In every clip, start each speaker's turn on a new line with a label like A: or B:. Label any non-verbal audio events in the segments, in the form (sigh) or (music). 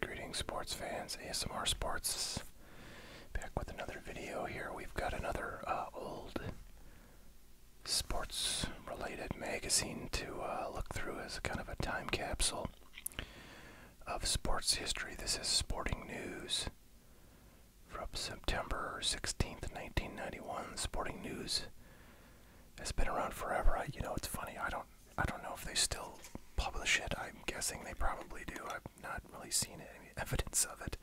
A: Greetings, sports fans, ASMR Sports. Back with another video here. We've got another uh, old sports related magazine to uh, look through as kind of a time capsule of sports history. This is Sporting News from September 16th, 1991. Sporting News has been around forever. you know, it's funny. I don't, I don't know if they still publish it. I'm guessing they probably do. I've not really seen any (laughs) evidence of it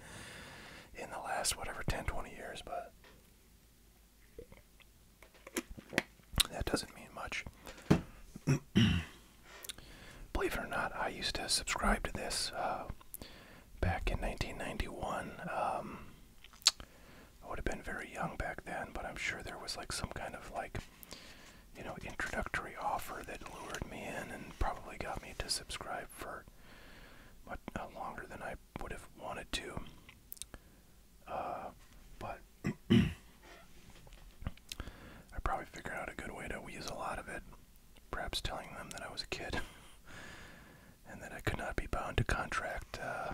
A: in the last whatever 10, 20 years, but that doesn't mean much. (clears throat) Believe it or not, I used to subscribe to this uh, back in 1991. Um, I would have been very young back then, but I'm sure there was like some kind of like, you know, introductory offer that lured me in and probably got me to subscribe for much uh, longer than I would have wanted to. Uh, but (clears throat) I probably figured out a good way to use a lot of it. Perhaps telling them that I was a kid. (laughs) and that I could not be bound to contract. Uh,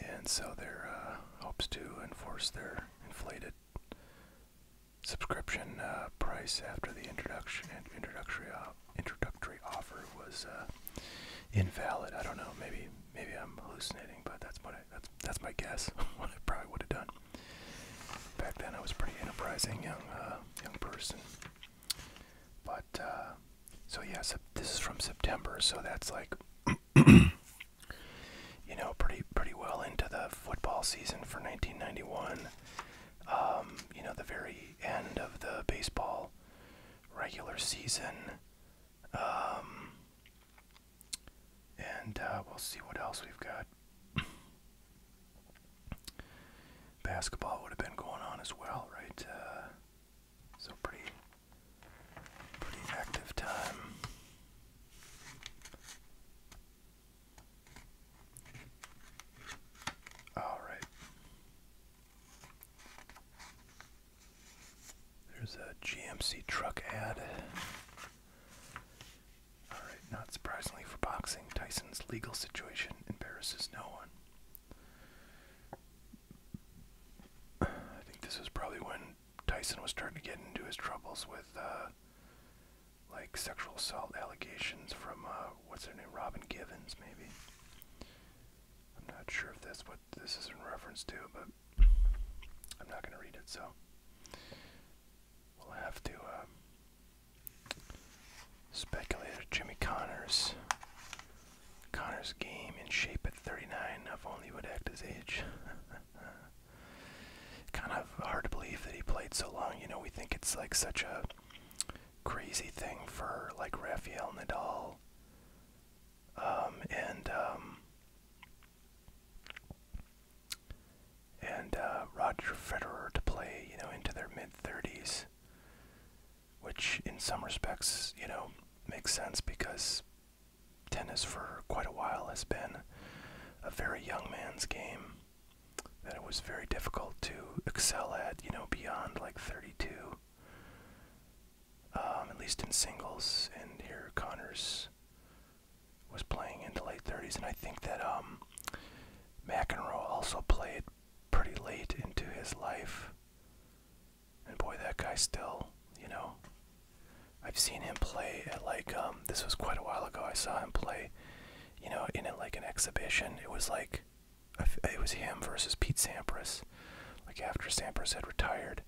A: and so their uh, hopes to enforce their inflated subscription uh, price after the introduction introductory introductory offer was invalid. I don't know. Maybe maybe I'm hallucinating, but that's what that's that's my guess. (laughs) what I probably would have done. Back then, I was pretty enterprising young young person. But uh, so yeah, this is from September, so that's like (clears throat) you know pretty pretty well into the football season for 1991. Um, you know the very end of the baseball regular season. Um, and uh, we'll see what else we've got basketball would have been going on as well, right? Uh, so pretty, pretty active time. All right. There's a GMC truck ad. All right, not surprisingly for boxing, Tyson's legal situation embarrasses no one. I think this was probably when Tyson was starting to get into his troubles with uh, like sexual assault allegations from uh, what's her name, Robin Givens, maybe. I'm not sure if that's what this is in reference to, but I'm not going to read it, so we'll have to uh, Speculator Jimmy Connors. Connors' game in shape at 39, if only he would act his age. (laughs) kind of hard to believe that he played so long. You know, we think it's like such a crazy thing for like Rafael Nadal um, and um, and uh, Roger Federer to play, you know, into their mid 30s which in some respects, you know, makes sense because tennis for quite a while has been a very young man's game that it was very difficult to excel at, you know, beyond like 32. Um, at least in singles, and here Connors was playing in the late 30s, and I think that um, McEnroe also played pretty late into his life. And boy, that guy still, you know. I've seen him play at like, um, this was quite a while ago. I saw him play, you know, in like an exhibition. It was like, it was him versus Pete Sampras, like after Sampras had retired.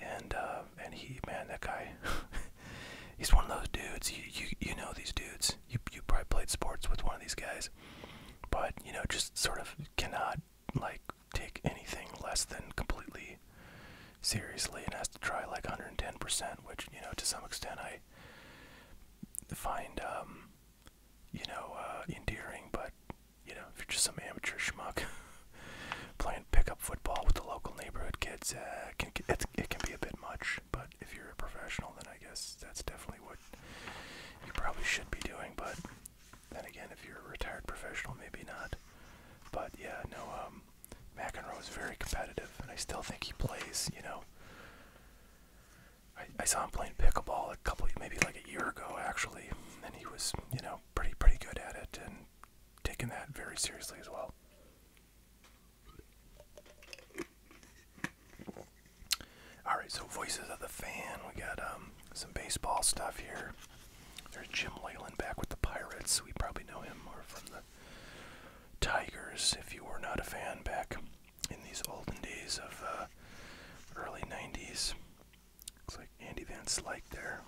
A: And, uh, and he, man, that guy, (laughs) he's one of those dudes. you, you know these dudes. You, you probably played sports with one of these guys but you know just sort of cannot like take anything less than completely seriously and has to try like 110% which you know to some extent i find um you know uh endearing but you know if you're just some amateur schmuck (laughs) playing pickup football with the local neighborhood kids uh, can, it, it can be a bit much but if you're a professional then i guess that's definitely what what you probably should be doing, but then again, if you're a retired professional, maybe not. But yeah, no, um, McEnroe is very competitive, and I still think he plays, you know. I, I saw him playing pickleball a couple, maybe like a year ago, actually, and he was, you know, pretty, pretty good at it and taking that very seriously as well. All right, so voices of the fan. We got um, some baseball stuff here. There's Jim Leyland back with the Pirates. We probably know him more from the Tigers. If you were not a fan back in these olden days of uh, early '90s, looks like Andy Vance like there.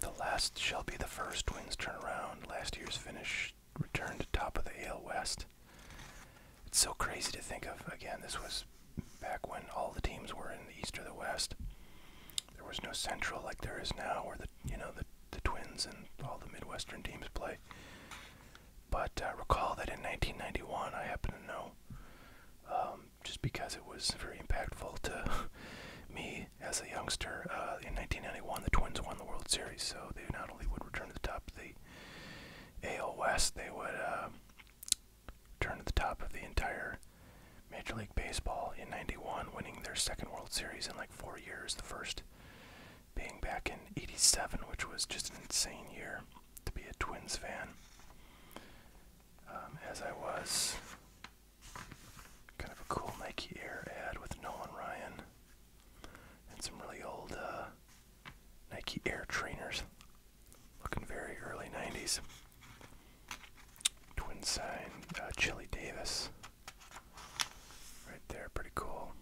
A: The last shall be the first. Twins turn around. Last year's finish returned to top of the AL West. It's so crazy to think of. Again, this was back when all the teams were in the East or the West. There was no Central like there is now, where the you know the the Twins and all the Midwestern teams play. But uh, recall that in 1991, I happen to know, um, just because it was very impactful to (laughs) me as a youngster. Uh, in 1991, the Twins won the World Series, so they not only would return to the top of the AL West, they would um, turn to the top of the entire Major League Baseball in 91, winning their second World Series in like four years, the first being back in 87, which was just an insane year to be a Twins fan, um, as I was. Kind of a cool Nike Air ad with Nolan Ryan and some really old uh, Nike Air trainers. Looking very early 90s. Twin sign, uh, Chili Davis. Right there, pretty cool.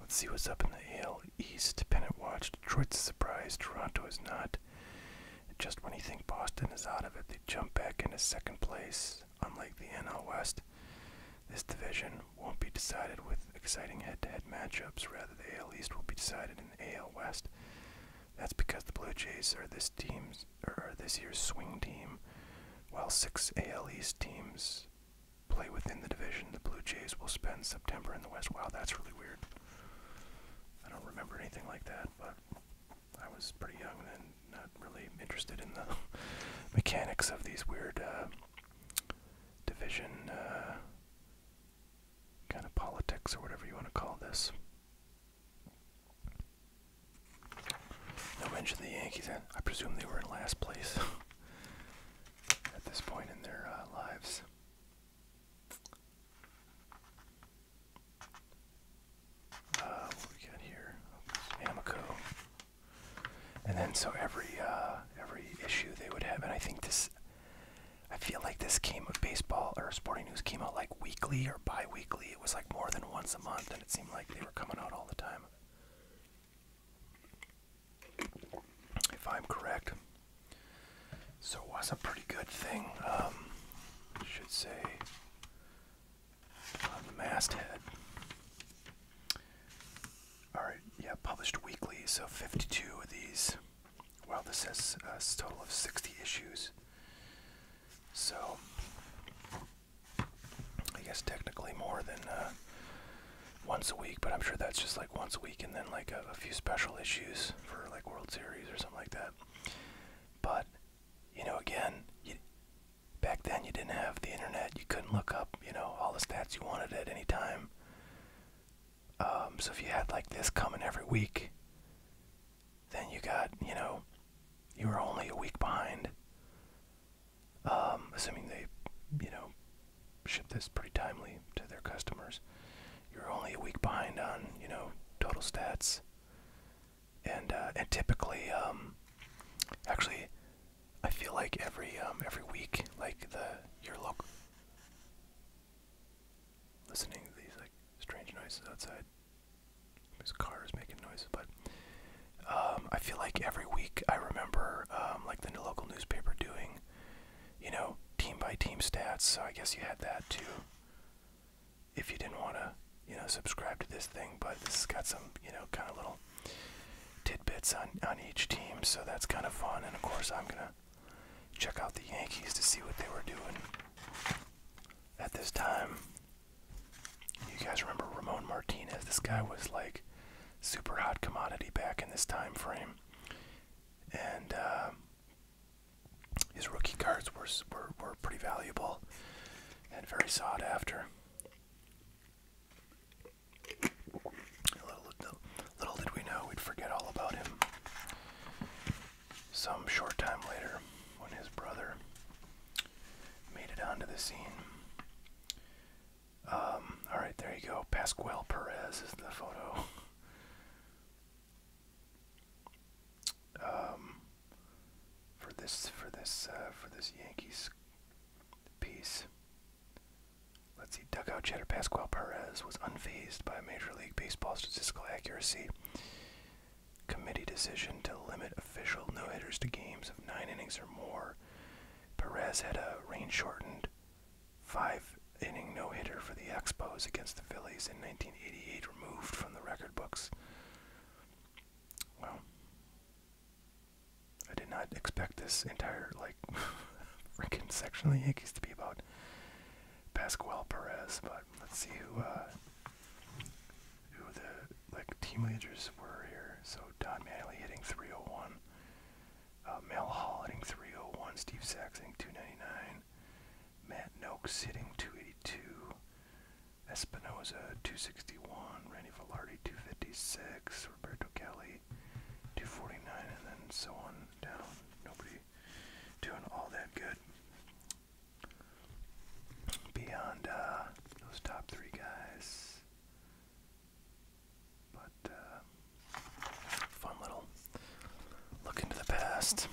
A: Let's see what's up in the AL East. Pennant watch. Detroit's surprised. Toronto is not. just when you think Boston is out of it, they jump back into second place. Unlike the NL West, this division division won't be decided with exciting head-to-head -head matchups. Rather, the AL East will be decided in the AL West. That's because the Blue Jays are this team's or this year's swing team, while six AL East teams play within the division. The Blue Jays will spend September in the West. Wow, that's really weird. I don't remember anything like that, but I was pretty young then, not really interested in the (laughs) mechanics of these weird uh, division uh, kind of politics or whatever you want to call this. No mention of the Yankees. Then I presume they were in last place (laughs) at this point in their uh, lives. Uh, what we got here? Amoco. And then so every uh, every issue they would have, and I think this, I feel like this came with baseball or sporting news came out like weekly or bi-weekly. It was like more than once a month, and it seemed like they were coming out all the time. If I'm correct, so it was a pretty good thing. Um, should say on the masthead. Alright, yeah, published weekly, so 52 of these. Well, this has a total of 60 issues. So, I guess technically more than uh, once a week, but I'm sure that's just like once a week and then like a, a few special issues for like World Series or something like that. But, you know, again, you, back then you didn't have the internet. You couldn't look up, you know, all the stats you wanted at any time. Um, so if you had like this coming every week, then you got, you know, you were only a week behind. Um, assuming they, you know, ship this pretty timely to their customers. You're only a week behind on, you know, total stats. And uh, and typically, um, actually, I feel like every um every week, like the your local listening to these like strange noises outside. There's cars making noise, but um, I feel like every week I remember um, like the local newspaper doing, you know, team by team stats. So I guess you had that too. If you didn't want to, you know, subscribe to this thing, but this has got some, you know, kind of little tidbits on, on each team, so that's kind of fun. And of course, I'm going to check out the Yankees to see what they were doing at this time. You guys remember Ramon Martinez? This guy was like super hot commodity back in this time frame. And uh, his rookie cards were, were pretty valuable and very sought after. Little, did we know we'd forget all about him. Some short time later, when his brother made it onto the scene. Um, Alright, there you go. Pascual Perez is the photo. Um, for this, for this, uh, for this Yankees piece, Let's see, dugout chatter. Pascual Perez was unfazed by a Major League Baseball statistical accuracy committee decision to limit official no-hitters to games of nine innings or more. Perez had a rain-shortened five-inning no-hitter for the Expos against the Phillies in 1988 removed from the record books. Well, I did not expect this entire like (laughs) freaking section of the Yankees to be about Pascual Perez, but let's see who uh, who the like team leaders were here. So Don Manley hitting 301, uh, Mel Hall hitting 301, Steve Sachs hitting 299, Matt Noak sitting 282, Espinoza 261, Randy Velarde 256, Roberto Kelly 249, and then so on down. Nobody doing all that good. Beyond uh, those top three guys. But uh, fun little look into the past.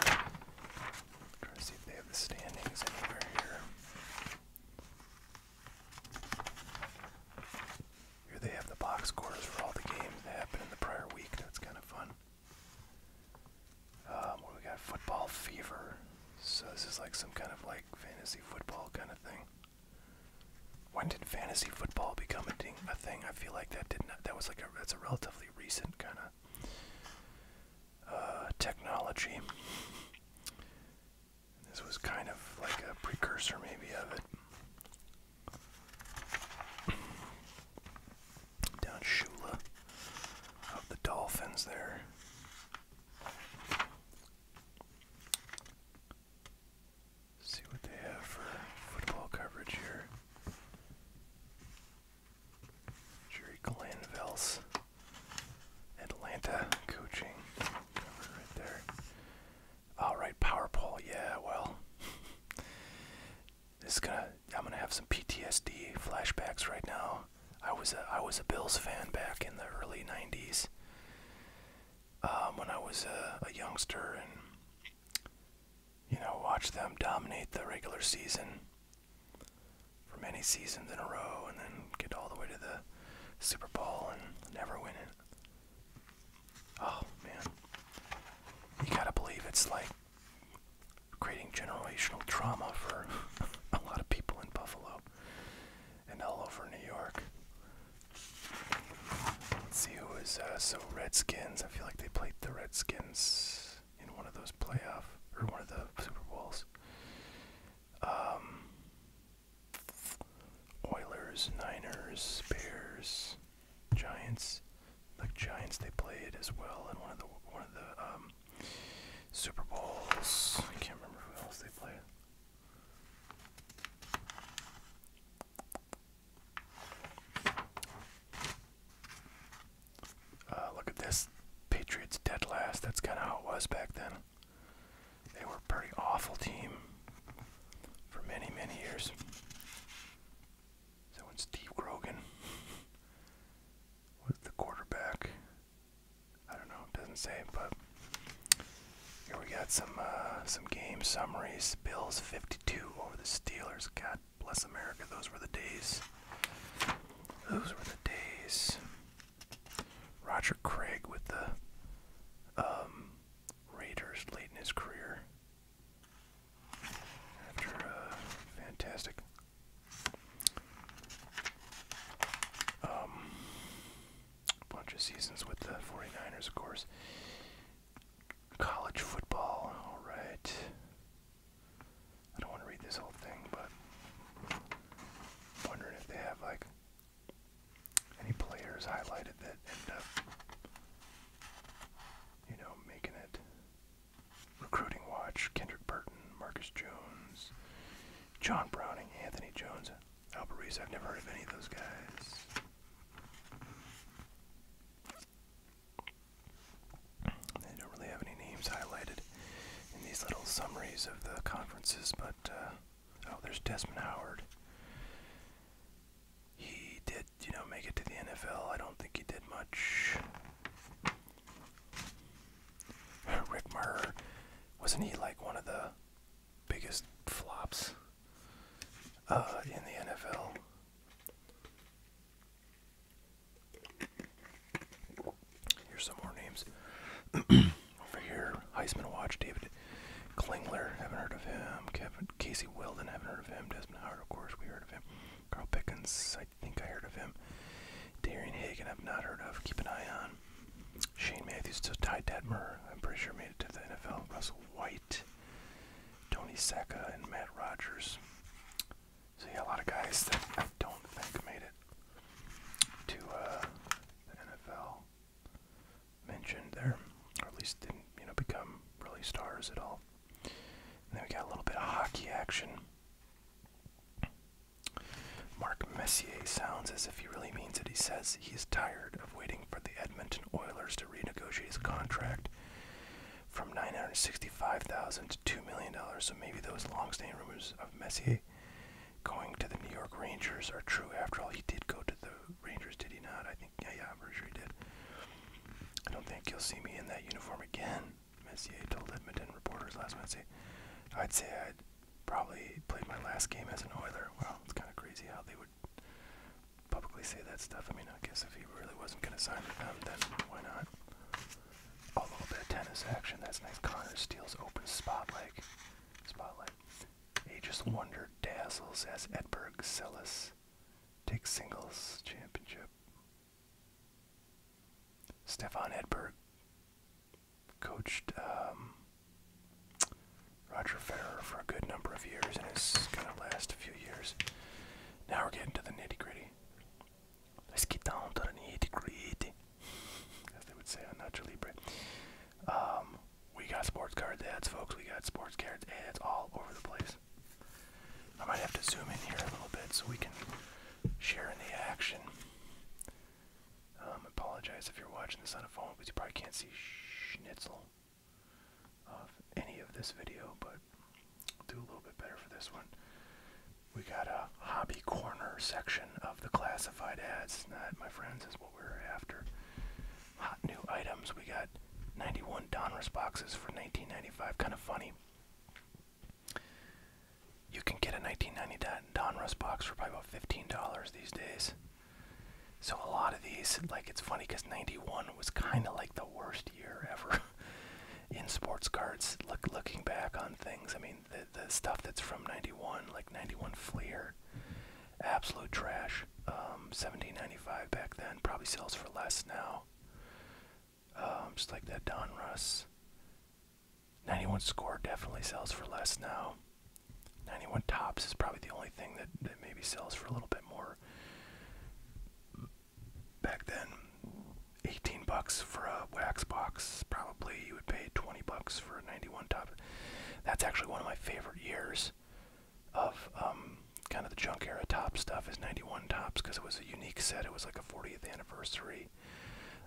A: Try to see if they have the standings anywhere here. Here they have the box scores for all the games that happened in the prior week. That's kind of fun. Um, we got football fever. So this is like some kind of like fantasy football kind of thing. When did fantasy football become a thing? I feel like that did not. That was like a. That's a relatively recent kind of uh, technology. This was kind of like a precursor, maybe, of it. (clears throat) Down Shula of the Dolphins there. See what they have for football coverage here. Jerry Glanville's Atlanta coaching cover right there. Alright, power pole, yeah, well. it's (laughs) gonna I'm gonna have some PTSD flashbacks right now. I was a I was a Bills fan back in the early nineties. Um, when I was a, a youngster and you know, watched them dominate the regular season for many seasons in a row and then get all the way to the Super Bowl and never win it. Oh man. You gotta believe it's like creating generational trauma for (laughs) a lot of people in Buffalo and all over New York. Let's see who is uh, so Redskins. I feel like they played the Redskins in one of those playoff or one of the Super Bowls. Um, Oilers, Niners, Bears, Giants. The Giants they played as well in one of the one of the um, Super Bowls. I can't remember who else they played. Uh, look at this. Patriots dead last. That's kind of how it was back then. They were a pretty awful team for many, many years. So when Steve Grogan was the quarterback, I don't know, doesn't say, but here we got some uh, some game summaries. Bills 52 over the Steelers. God bless America. Those were the days. Those were the days. Roger Craig with the um, Raiders late in his career. After uh, fantastic. Um, bunch of seasons with the 49ers, of course. College football, alright. I don't want to read this whole thing, but wondering if they have like any players highlighted that end up, you know, making it. Recruiting Watch, Kendrick Burton, Marcus Jones, John Browning, Anthony Jones, Albert Reese. I've never heard of any of those guys. They don't really have any names highlighted in these little summaries of the conferences, but. Uh, Oh, there's Desmond Howard. He did, you know, make it to the NFL. I don't think he did much. (laughs) Rick Murr, wasn't he like one of the biggest flops uh, in the NFL? Here's some more names. (clears throat) over here. Heisman Watch, David Klingler, haven't heard of him. Kevin Casey Weldon, haven't heard of him. Desmond Howard, of course, we heard of him. Carl Pickens, I think I heard of him. Darian Hagen, I've not heard of. Keep an eye on. Shane Matthews, so Ty Detmer, I'm pretty sure made it to the NFL. Russell White, Tony Sacca, and Matt Rogers. So yeah, a lot of guys that I don't think made it to uh, the NFL mentioned there, or at least didn't you know become really stars at all. then we got a little bit of hockey action. Mark Messier sounds as if he really means it. He says he's tired of waiting for the Edmonton Oilers to renegotiate his contract from nine hundred sixty-five thousand to two million dollars. So maybe those long-standing rumors of Messier going to the New York Rangers are true. After all, he did go to the Rangers, did he not? I think, yeah, yeah, i did. I don't think you'll see me in that uniform again, Messier told Edmonton reporters last Wednesday. I'd say I'd probably played my last game as an Oiler. Wow, it's kind of crazy how they would publicly say that stuff. I mean, I guess if he really wasn't going to sign with them, then why not? All A little bit of tennis action. That's nice. Connor steals open spotlight. Spotlight. Aegis Wonder dazzles as Edberg Celis takes singles championship. Stefan Edberg coached um, Roger Federer for a good number of years and his going to last a few years. Now we're getting to the nitty gritty. Let's get down to the nitty gritty, as they would say on Nacho we got sports card ads, folks. We got sports card ads all over the place. I might have to zoom in here a little bit so we can share in the action. I um, apologize if you're watching this on a phone because you probably can't see schnitzel of any of this video, but do a little bit better for this one. We got a hobby corner section of the classified ads. That, my friends, is what we're after hot new items. We got 91 Donruss boxes for 1995. Kind of funny. You can get a 1990 Donruss box for probably about $15 these days. So a lot of these, like it's funny because 91 was kind of like the worst year ever (laughs) in sports cards. Look, looking back on things, I mean the the stuff that's from 91, like 91 Fleer, absolute trash. 17.95 um, back then, probably sells for less now. Um, just like that Don Russ. 91 score definitely sells for less now. 91 tops is probably the only thing that, that maybe sells for a little bit more. Back then, 18 bucks for a wax box. Probably you would pay 20 bucks for a 91 top. That's actually one of my favorite years of um, kind of the junk era top stuff is 91 tops because it was a unique set. It was like a 40th anniversary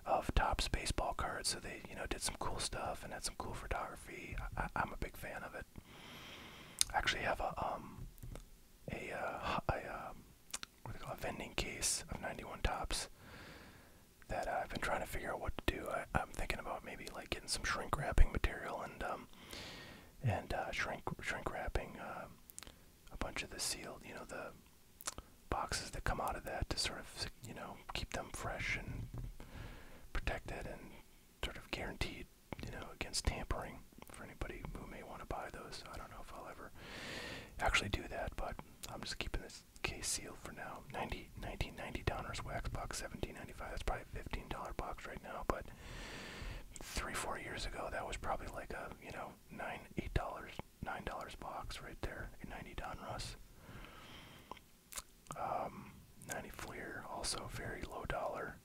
A: of tops baseball cards. So they, you know, did some cool stuff and had some cool photography. I, am a big fan of it. I actually have a um a uh, um, what they call a vending case of 91 tops that I've been trying to figure out what to do. I, I'm thinking about maybe like getting some shrink wrapping material and um um, and uh, shrink shrink wrapping uh, a bunch of the sealed, you know, the boxes that come out of that to sort of, you know, keep them fresh and protected and sort of guaranteed, you know, against tampering for anybody who may want to buy those. I don't know if I'll ever actually do that, but I'm just keeping this case sealed for now. 90, 1990 Downers Wax Box 1795. That's probably $15 box right now, but three, four years ago, that was probably like a, you know, nine, eight dollars, nine dollars box right there, 90 Donruss. Um, 90 Fleer, also very low dollar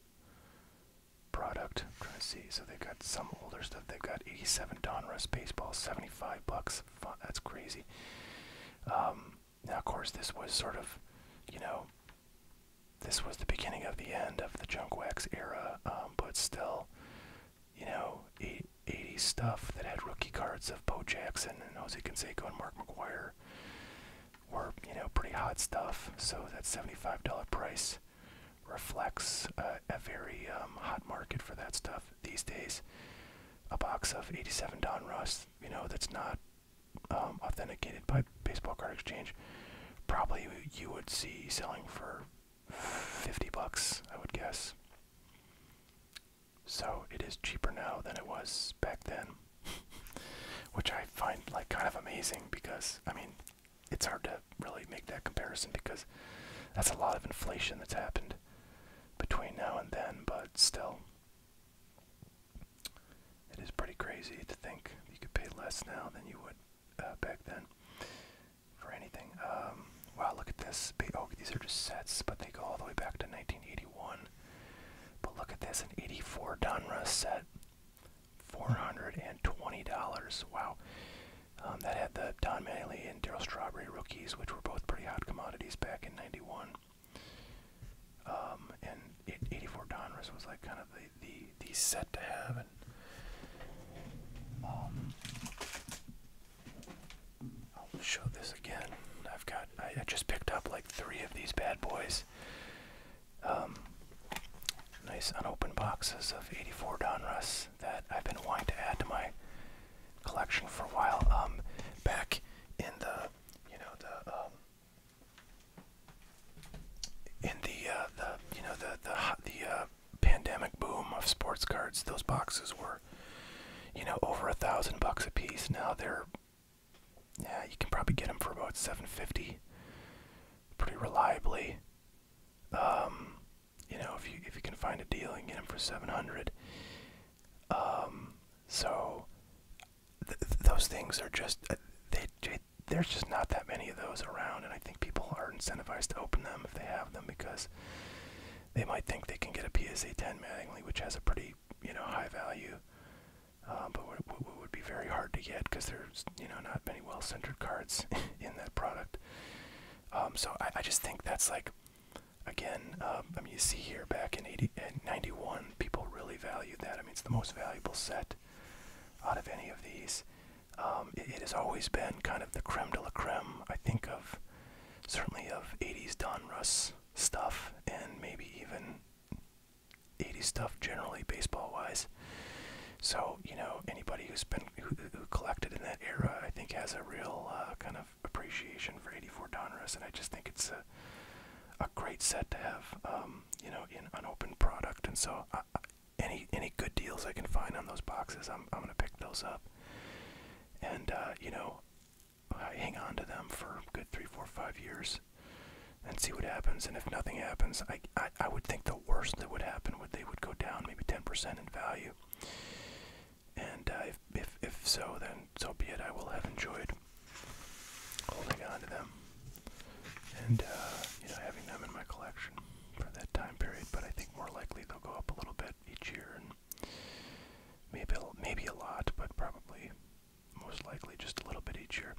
A: product. I'm trying to see, so they've got some older stuff. They've got 87 Donruss baseball, 75 bucks. That's crazy. Um, now, of course, this was sort of, you know, this was the beginning of the end of the junk wax era, um, but still, you know, 80s stuff that had rookie cards of Bo Jackson and Jose Canseco and Mark McGuire were, you know, pretty hot stuff. So that $75 price reflects uh, a very um, hot market for that stuff these days. A box of 87 Don Russ, you know, that's not um, authenticated by Baseball Card Exchange, probably you would see selling for 50 bucks, I would guess. So it is cheaper now than it was back then, (laughs) which I find like kind of amazing because I mean, it's hard to really make that comparison because that's a lot of inflation that's happened between now and then, but still. It is pretty crazy to think you could pay less now than you would uh, back then for anything. Um, wow, look at this. Oh, these are just sets, but they go all the way back to 1981. But look at this, an 84 Donruss set. $420. Wow. Um, that had the Don Manley and Daryl Strawberry rookies, which were both pretty hot commodities back in 91. Um, and 84 Donruss was like kind of the, the, set to have. And um, I'll show this again. I've got, I just picked up like three of these bad boys. Um, nice unopened boxes of 84 Donruss that I've been wanting to add to my collection for a while. Um, back in the, you know, the um, in the uh, the you know the the the uh, pandemic boom of sports cards, those boxes were you know over a thousand bucks a piece. Now they're yeah, you can probably get them for about seven fifty, pretty reliably. Um, you know if you if you can find a deal, and get them for seven hundred. Um, so th those things are just uh, they, they there's just not that many of those around, and I think people are incentivized to open them if they have them because they might think they can get a PSA 10 Mattingly, which has a pretty you know high value, um, but w w would be very hard to get because there's you know not many well-centered cards (laughs) in that product. Um, so I, I just think that's like again, um, I mean you see here back in 80 and 91, people really valued that set. I mean, it's the most valuable set out of any of these. Um, it, it has always been kind of the creme de la creme. I think of certainly of 80s Donruss stuff and maybe even 80s stuff generally baseball wise. So, you know, anybody who's been who, who collected in that era, I think has a real uh, kind of appreciation for 84 Donruss and I just think it's a a great set to have, um, you know, in an open product. And so, I, I, any any good deals I can find on those boxes, I'm I'm gonna pick those up. And uh, you know, I hang on to them for a good three, four, five years, and see what happens. And if nothing happens, I I, I would think the worst that would happen would they would go down maybe 10% in value. And uh, if, if if so, then so be it. I will have enjoyed holding on to them and uh, you know having them in my collection for that time period. But I think more likely they'll go up a little bit each year, and maybe maybe a lot, but probably most likely just a little bit each year.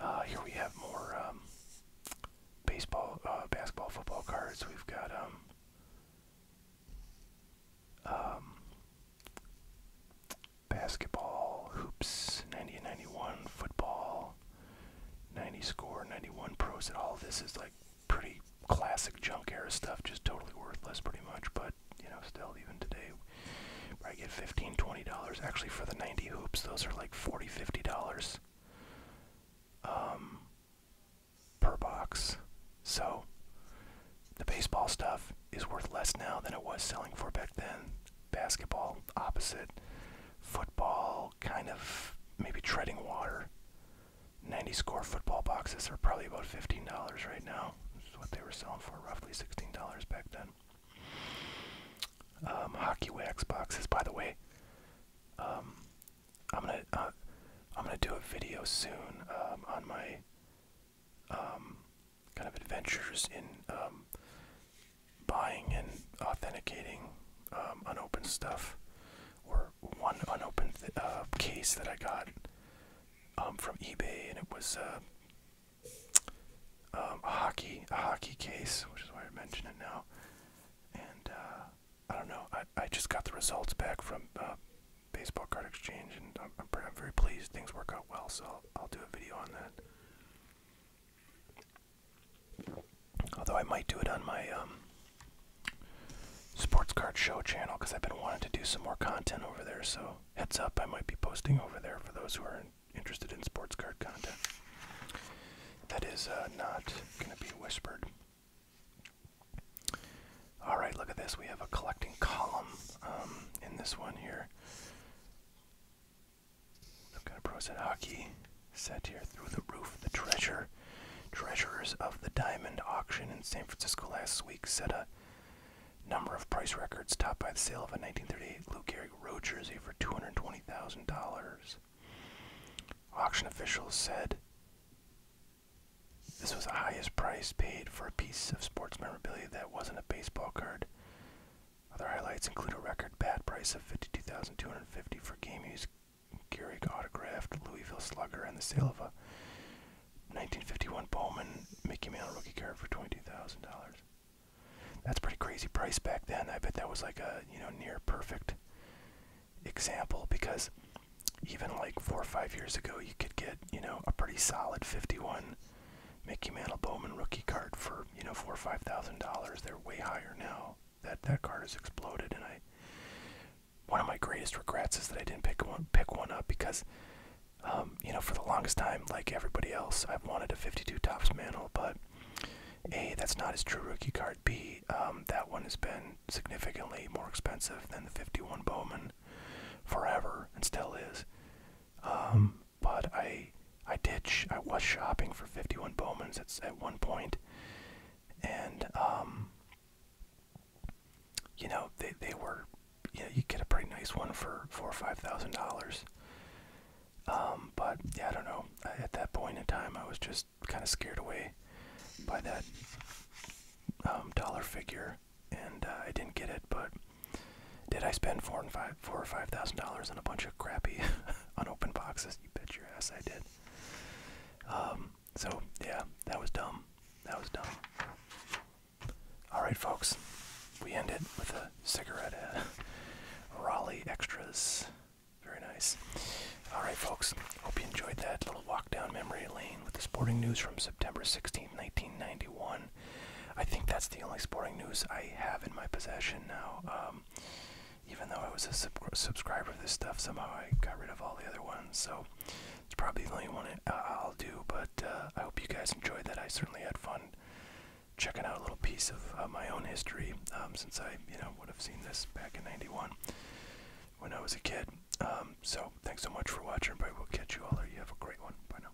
A: Uh, here we have more um, baseball, uh, basketball, football cards. We've got um, um, basketball, hoops, 90 and 91, football, 90 score, 91 pros and all this is like pretty classic junk era stuff, just totally worthless pretty much, but you know, still even today I get 15 20 dollars actually for the 90 hoops those are like 40 50 dollars um, per box so the baseball stuff is worth less now than it was selling for back then. Basketball, opposite. Football, kind of maybe treading water. 90 score football boxes are probably about $15 right now, which is what they were selling for, roughly $16 back then. Um, hockey wax boxes, by the way. Um, I'm gonna uh, I'm gonna do a video soon um, on my um, kind of adventures in um, buying and authenticating um, unopened stuff, or one unopened uh, case that I got from eBay, and it was uh, a hockey a hockey case, which is why I mention it now. And uh, I don't know, I, I just got the results back from Baseball Card Exchange, and I'm, very pleased. Things work out well, so I'll do a video on that. Although I might do it on my um, sports card show channel because I've been wanting to do some more content over there. So heads up, I might be posting over there for those who are interested in sports card content. That is uh, not going to be whispered. All right, look at this. We have a collecting column um, in this one here. Some kind of pros at hockey. Set here through the roof. The treasure, treasurers of the diamond auction in San Francisco last week set a number of price records topped by the sale of a 1938 Lou Gehrig road jersey for $220,000. Auction officials said this was the highest price paid for a piece of sports memorabilia that wasn't a baseball card. Other highlights include a record bat price of $52,250 for game use Gehrig autographed Louisville Slugger and the sale of a 1951 Bowman Mickey Mantle rookie card for $22,000. That's pretty crazy price back then. I bet that was like a, you know, near perfect example because even like 4 or 5 years ago you could get, you know, a pretty solid 51 Mickey Mantle Bowman rookie card for you know four or five thousand dollars. They're way higher now. That that card has exploded, and I one of my greatest regrets is that I didn't pick one pick one up because um, you know for the longest time, like everybody else, I've wanted a 52 tops Mantle, but a that's not his true rookie card. B um, that one has been significantly more expensive than the 51 Bowman forever and still is. Um, but I I did I was shopping for 51 Bowmans at at one point, and um, you know they they were you know you get a pretty nice one for four or five thousand dollars. Um, but yeah, I don't know. at that point in time, I was just kind of scared away by that um, dollar figure, and uh, I didn't get it. But did I spend four and five, four or five thousand dollars on a bunch of crappy (laughs) unopened boxes? You bet your ass I did. Um, so yeah, that was dumb. That was dumb. All right, folks, we end it with a cigarette. Ad. (laughs) Raleigh extras, very nice. All right, folks, hope you enjoyed that little walk down memory lane with the sporting news from September 16, 1991. I think that's the only sporting news I have in my possession now. Um, even though I was a subscriber of this stuff, somehow I got rid of all the other ones. So it's probably the only one I'll do. But uh, I hope you guys enjoyed that. I certainly had fun checking out a little piece of my own history um, since I, you know, would have seen this back in '91 when I was a kid. Um, so thanks so much for watching, everybody. We'll catch you all later. You have a great one. Bye now.